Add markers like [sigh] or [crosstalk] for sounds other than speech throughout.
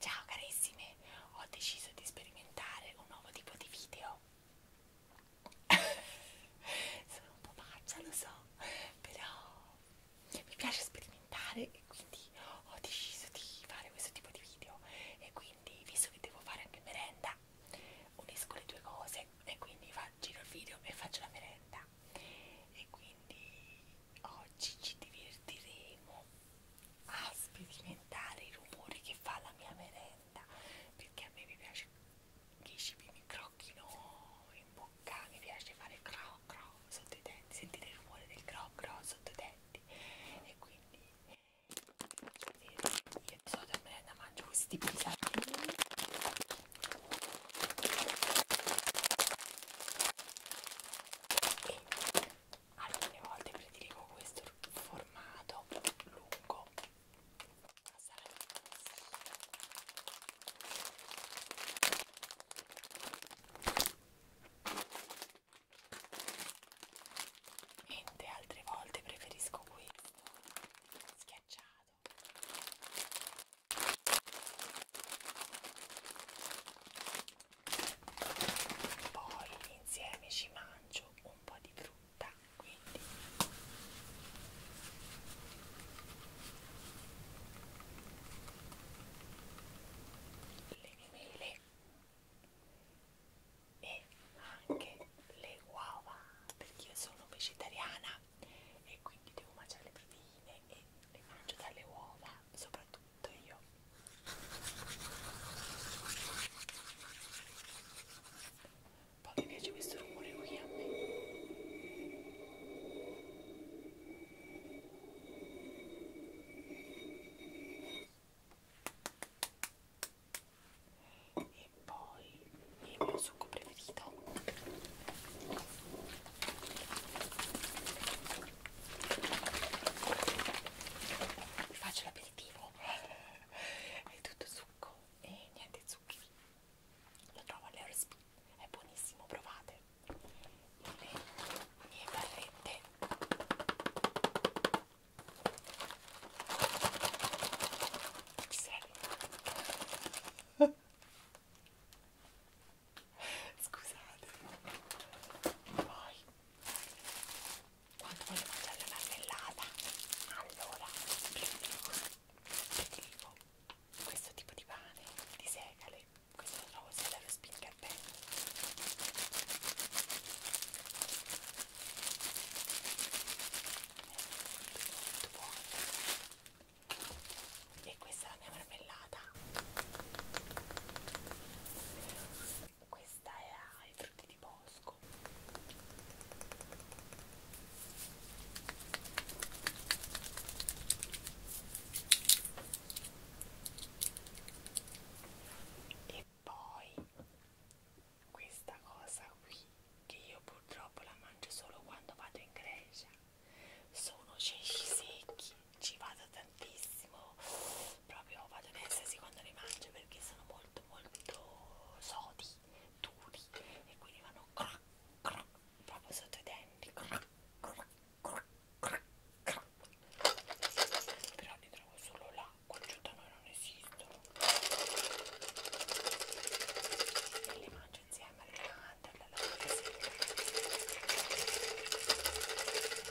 Ciao carissime, ho deciso di sperimentare un nuovo tipo di video. [laughs] Sono un po' pazza, lo so, però mi piace sperimentare e quindi ho deciso di fare questo tipo di video. E quindi, visto che devo fare anche merenda, unisco le due cose e quindi giro il video e faccio la merenda. E quindi Oggi ci divertiremo a sperimentare i rumori che fa la mia merenda perché a me mi piace che i cibi mi crocchino in bocca, mi piace fare cro cro sotto i denti, sentire il rumore del cro cro sotto i denti e quindi io di solito a merenda mangio questi pizzatini e alcune volte prediligo questo formato lungo ma sarà mentre altre volte preferisco questo schiacciato poi insieme ci mangio un po' di frutta quindi le mele e anche le uova perché io sono vegetariana e quindi devo mangiare le proteine e le mangio dalle uova soprattutto tutto io poi mi piace questo rumore qui a me e poi il mio succo preferito vi faccio l'aperitivo è tutto succo e niente zuccheri lo trovo all'Aerospin è buonissimo, provate le mie barrette ci sei? scusate poi quando voglio mangiare la marmellata allora prediligo, prediligo questo tipo di pane di segale questo lo trovo sia dallo spinner pen è molto molto buono e questa è la mia marmellata puntata questa era i frutti di bosco e poi questa cosa qui che io purtroppo la mangio solo quando vado in Grecia sono ceci secchi ci vado tantissimo proprio vado in estasi quando li mangio perché sono molto molto sodi duri e quindi vanno crac, crac, proprio sotto i denti crac, crac, crac, crac, crac. però li trovo solo là qua giù da noi non esistono e li mangio insieme alle mandorle alla frutta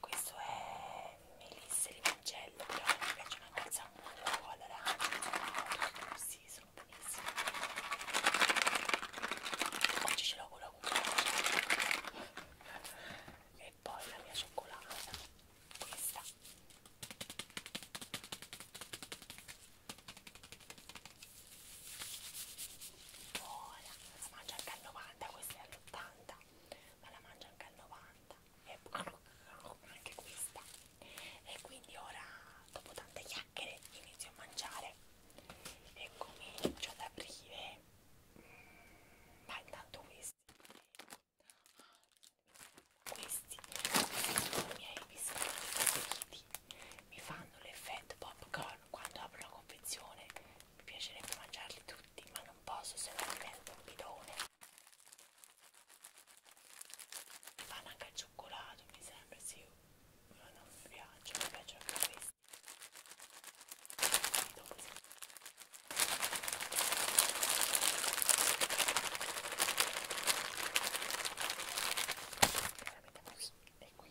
questo è Melisse di Mancello però mi piace una calza molto colora sì sono benissimo oggi ce l'ho con la e poi la mia cioccolata questa buona si mangia anche al 90 questa è all'80 ma la mangio anche al 90 e [laughs] anche questa e quindi ora dopo tante chiacchiere inizio a mangiare e comincio ad aprire mm, ma intanto questi questi sono i miei biscotti preferiti mi fanno l'effetto popcorn quando apro la confezione mi piacerebbe mangiarli tutti ma non posso se non divento un bidone mi fanno anche al cioccolato mi sembra sì ma non mi piace mi piacciono anche questi e qui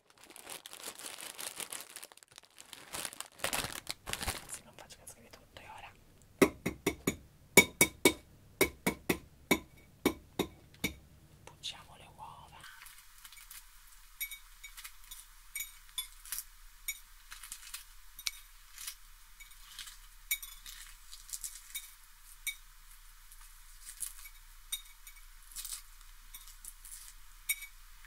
Ragazzi non faccio caso che vi tutto e ora Pucciamo le uova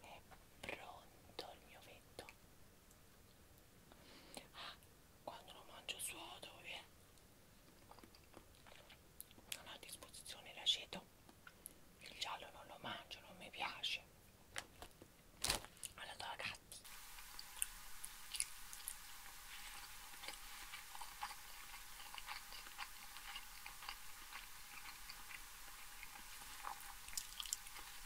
È pronto il mio vetto. Ah, quando lo mangio sodo, eh? Non ho a disposizione l'aceto. Il giallo non lo mangio, non mi piace. Alla tua gatti.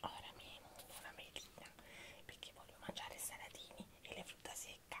Ora mi inno una melina perché voglio mangiare salatini e le frutta secca.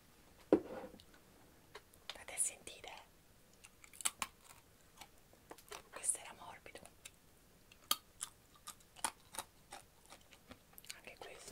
State a sentire? Eh. Questo era morbido. Anche questo.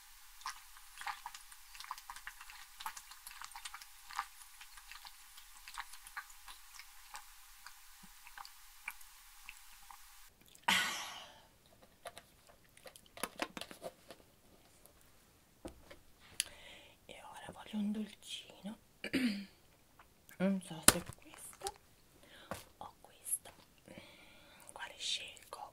E ora voglio un dolcino. [clears throat] non so se questo o questo. Quale scelgo?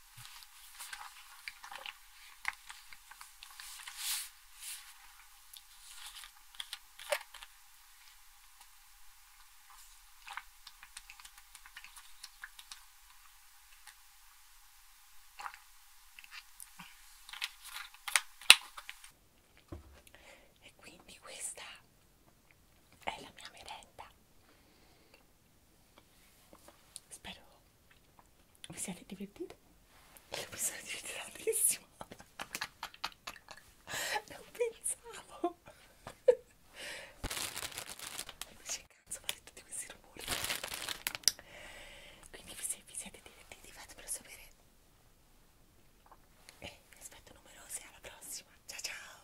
E quindi questa è la mia merenda. Spero vi siete divertiti? Mi sono divertita tantissimo. Non pensavo. Invece cazzo fare tutti questi rumori. Quindi se vi siete divertiti fatemelo sapere. E eh, vi aspetto numerosi alla prossima. Ciao ciao!